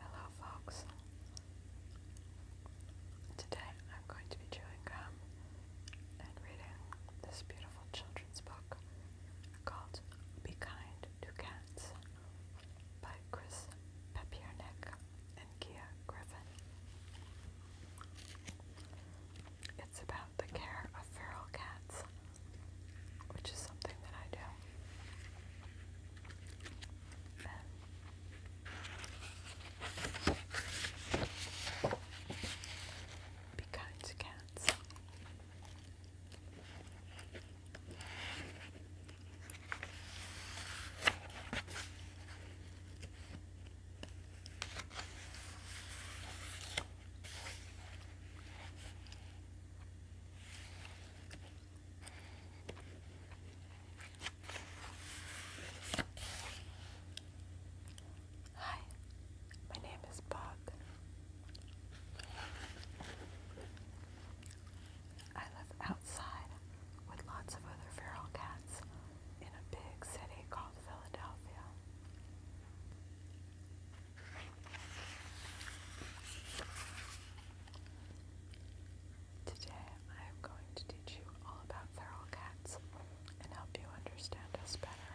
Hello folks. Today I'm going to be chewing gum and reading this beautiful children's book called Be Kind to Cats by Chris Papiernik and Kia Griffin. It's about the care of feral cats which is something that I do. be kind to cats. Hi, my name is Bob. I live outside with lots of other feral cats in a big city called Philadelphia. Today I am going to teach you all about feral cats and help you understand us better.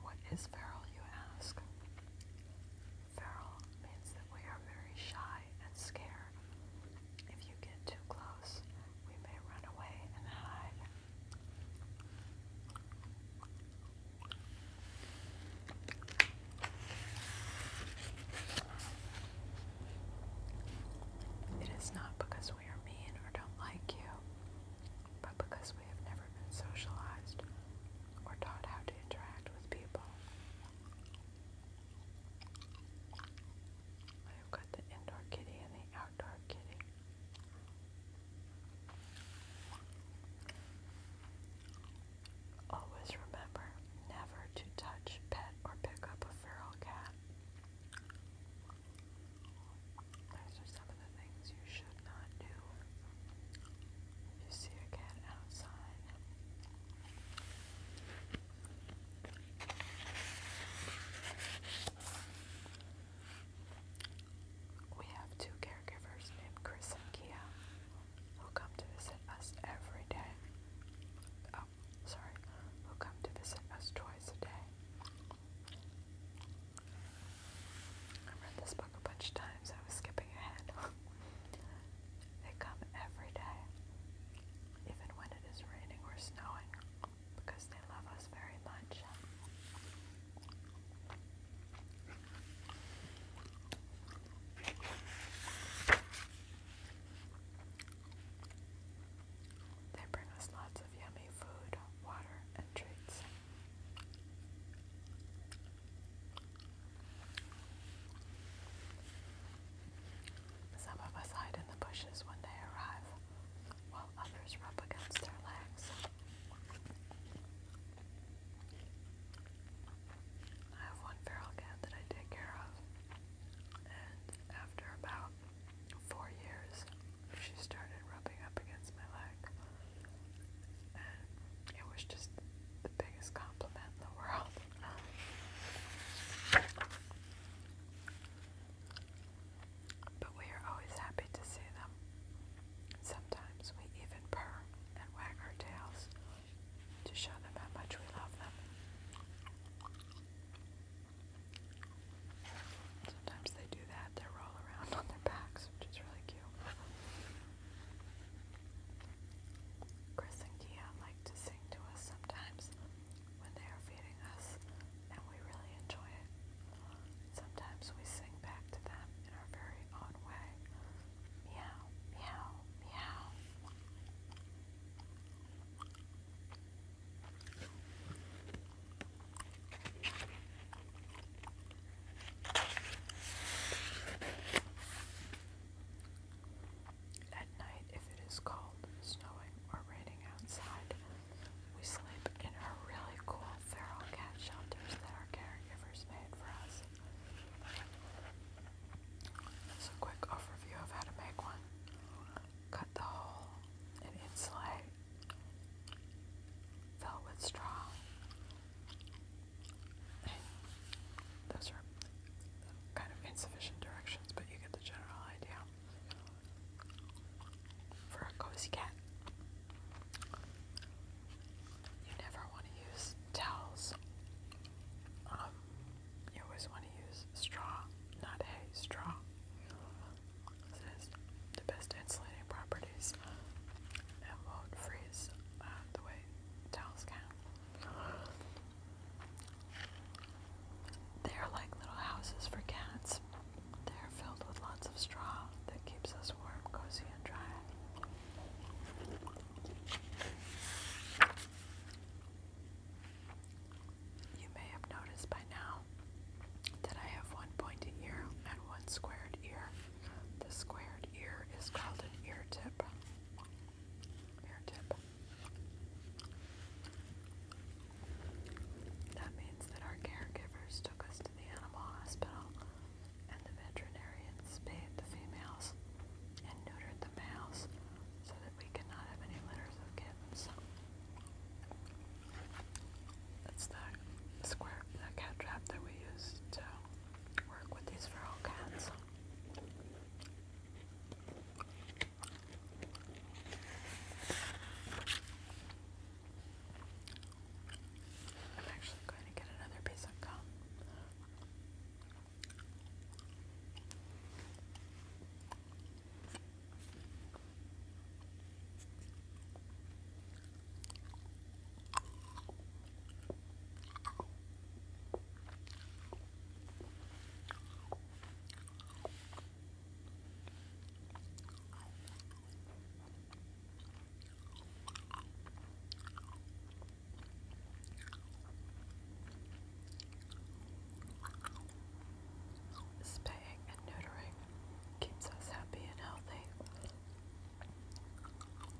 What is feral, you ask? Feral means that we are very shy and scared. If you get too close, we may run away and hide. It is not because we are mean or don't like you, but because we have never been socialized or taught how to interact with people. I've got the indoor kitty and the outdoor kitty. Always remember never to touch, pet, or pick up a feral cat. Those are some of the things you should not do. If you see a cat outside, we have two caregivers named Chris and Kia who come to visit us every day. Oh, sorry, who come to visit us twice a day. I read this book a bunch of times, I was skipping ahead. they come every day, even when it is raining or snowing because they love us very much. They bring us lots of yummy food, water, and treats. Some of us hide in the bushes when they arrive while others rub against their legs. I have one feral cat that I take care of, and after about four years, she started rubbing up against my leg, and it was just the biggest compliment in the world. but we are always happy to see them. Sometimes we even purr and wag our tails to show them how much we love them. Sometimes they do that, they roll around on their backs, which is really cute. Chris and Kia like to sing to us sometimes, when they are feeding us, and we really enjoy it. Sometimes we sing back to them in our very own way. Meow, meow, meow. At night, if it is cold, snowing, or raining outside, we sleep in our really cool feral cat shelters that our caregivers made for us. So a quick overview of how to make one. Cut the hole and insulate. Fill straw. those are kind of insufficient directions, but you get the general idea for a cozy cat. You never want to use towels. Um, you always want to use straw, not hay, straw. has the best insulating properties and won't freeze uh, the way towels can. They are like little houses for cats. They are filled with lots of straw that keeps us warm, cozy, and dry. You may have noticed by now that I have one pointed ear and one squared ear. The squared ear is called an ear tip. Ear tip. That means that our caregivers took us to the animal hospital and the veterinarians spayed the females and neutered the males so that we cannot have any litters of kittens. That's the square, cat trap that we use to work with these feral cats. I'm actually going to get another piece of gum. Spaying and neutering keeps us happy and healthy.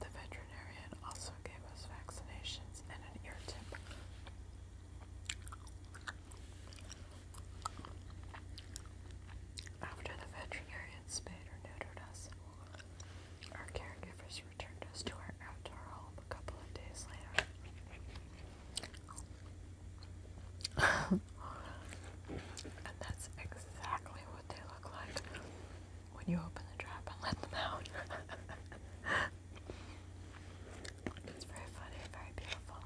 The veterinarian also gave us vaccinations and an ear tip. After the veterinarian spayed or neutered us, our caregivers returned us to our outdoor home a couple of days later. and that's exactly what they look like when you open the trap and let them out. it's very funny, very beautiful.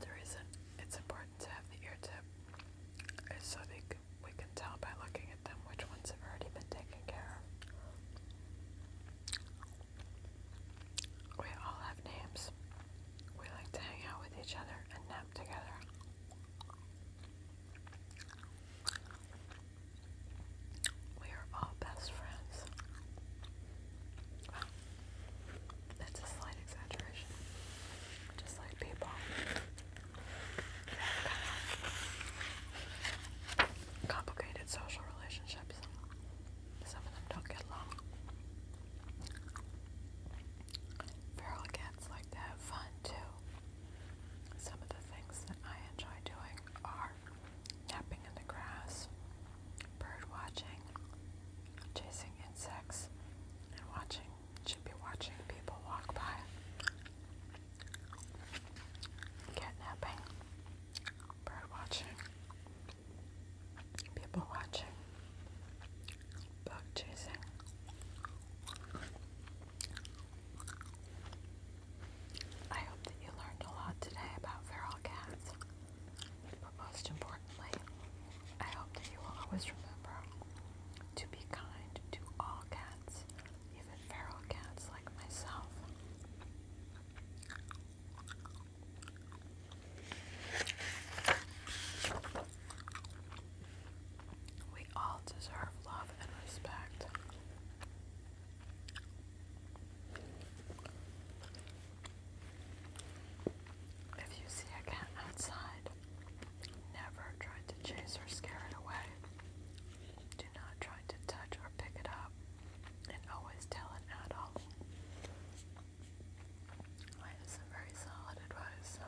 The reason it's important to have the ear tip is so we can tell by looking at them which ones have already been taken care of. We all have names. We like to hang out with each other and nap together. We are all best friends. That's a slight exaggeration. Just like people. complicated social relationships. Some of them don't get along. Feral cats like to have fun too. Some of the things that I enjoy doing are napping in the grass, bird watching, chasing insects, and watching, should be watching people walk by. Catnapping, bird watching, people watching, bug chasing. I hope that you learned a lot today about feral cats. But most importantly, I hope that you will always remember to be kind to all cats, even feral cats like myself. We all deserve love and respect. If you see a cat outside, never try to chase or scare it away. Do not try to touch or pick it up, and always tell an adult. That is some very solid advice.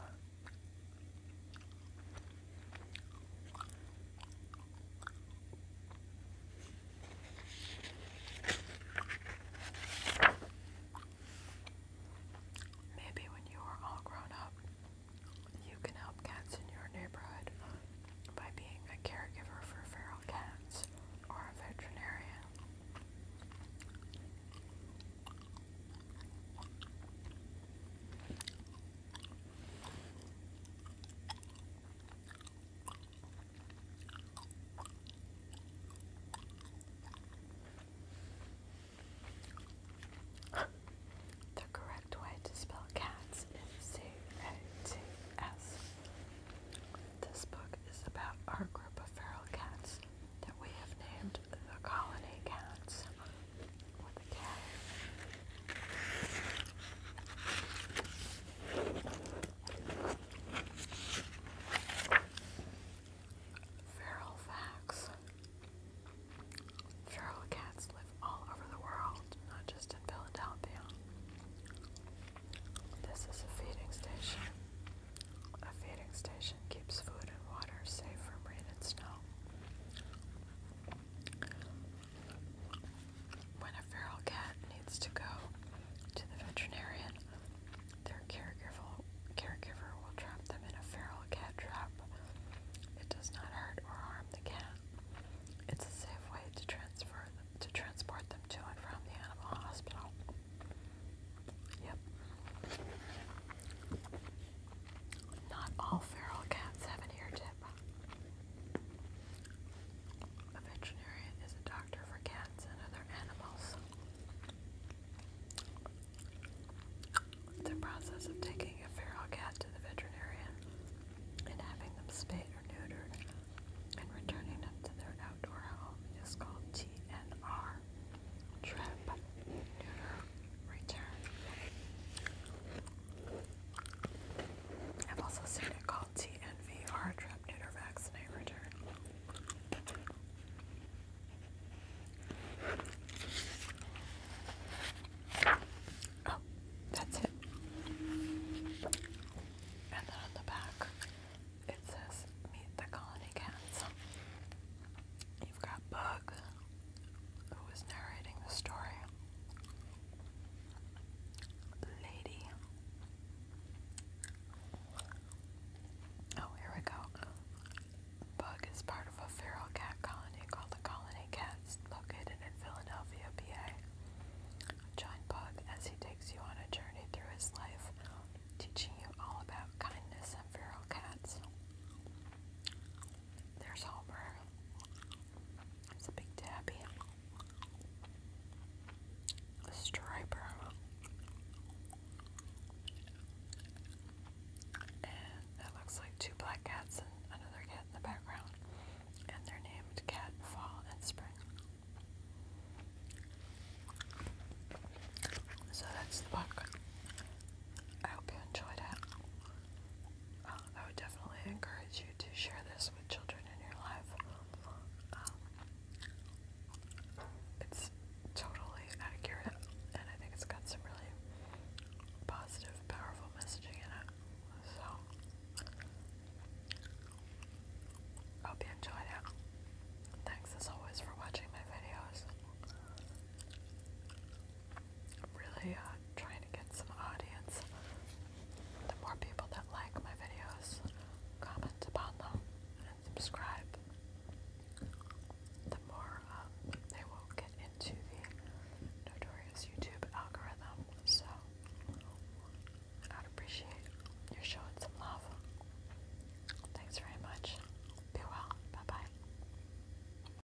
Maybe when you are all grown up, you can help cats in your neighborhood by being a caregiver for feral cats or a veterinarian. The correct way to spell cats is C A T S. This book is about our group of feral cats that we have named the Colony Cats. Feral facts. Feral cats live all over the world, not just in Philadelphia. This is a feeding station. A feeding station keeps food and water safe from rain and snow. When a feral cat needs to go to the veterinarian, their caregiver, caregiver will trap them in a feral cat trap. It does not hurt or harm the cat. It's a safe way to transfer them, to transport them to and from the animal hospital. Yep. Not all feral cats have an ear tip. A veterinarian is a doctor for cats and other animals. The process of taking a feral cat to the veterinarian and having them spayed or neutered and returning them to their outdoor home is called TNR. Trip, neuter, return. I've also seen it called TNV, trap, neuter, vaccinate, return. Oh, that's it. And then on the back, it says, Meet the colony cats. You've got Bug, who was narrating the story, lady. Oh, here we go. Bug is part of a feral cat colony called the Colony Cats, located in Philadelphia, PA. Join Bug as he takes you on a journey through his life, teaching you all about kindness and feral cats. There's Homer, it's a big tabby. A striper. And that looks like two black cats and another cat in the background. And they're named Cat Fall and Spring. So that's the book. I hope you enjoyed it. Um, I would definitely encourage you to share this with children in your life. Um, it's totally accurate, and I think it's got some really positive, powerful messaging in it. So, hope you enjoyed it. Thanks as always for watching my videos. I'm really uh, trying to get some audience. The more people that like my videos, comment upon them, and subscribe, the more um, they will get into the notorious YouTube algorithm. So I'd appreciate your showing some love. Thanks very much. Be well. Bye bye.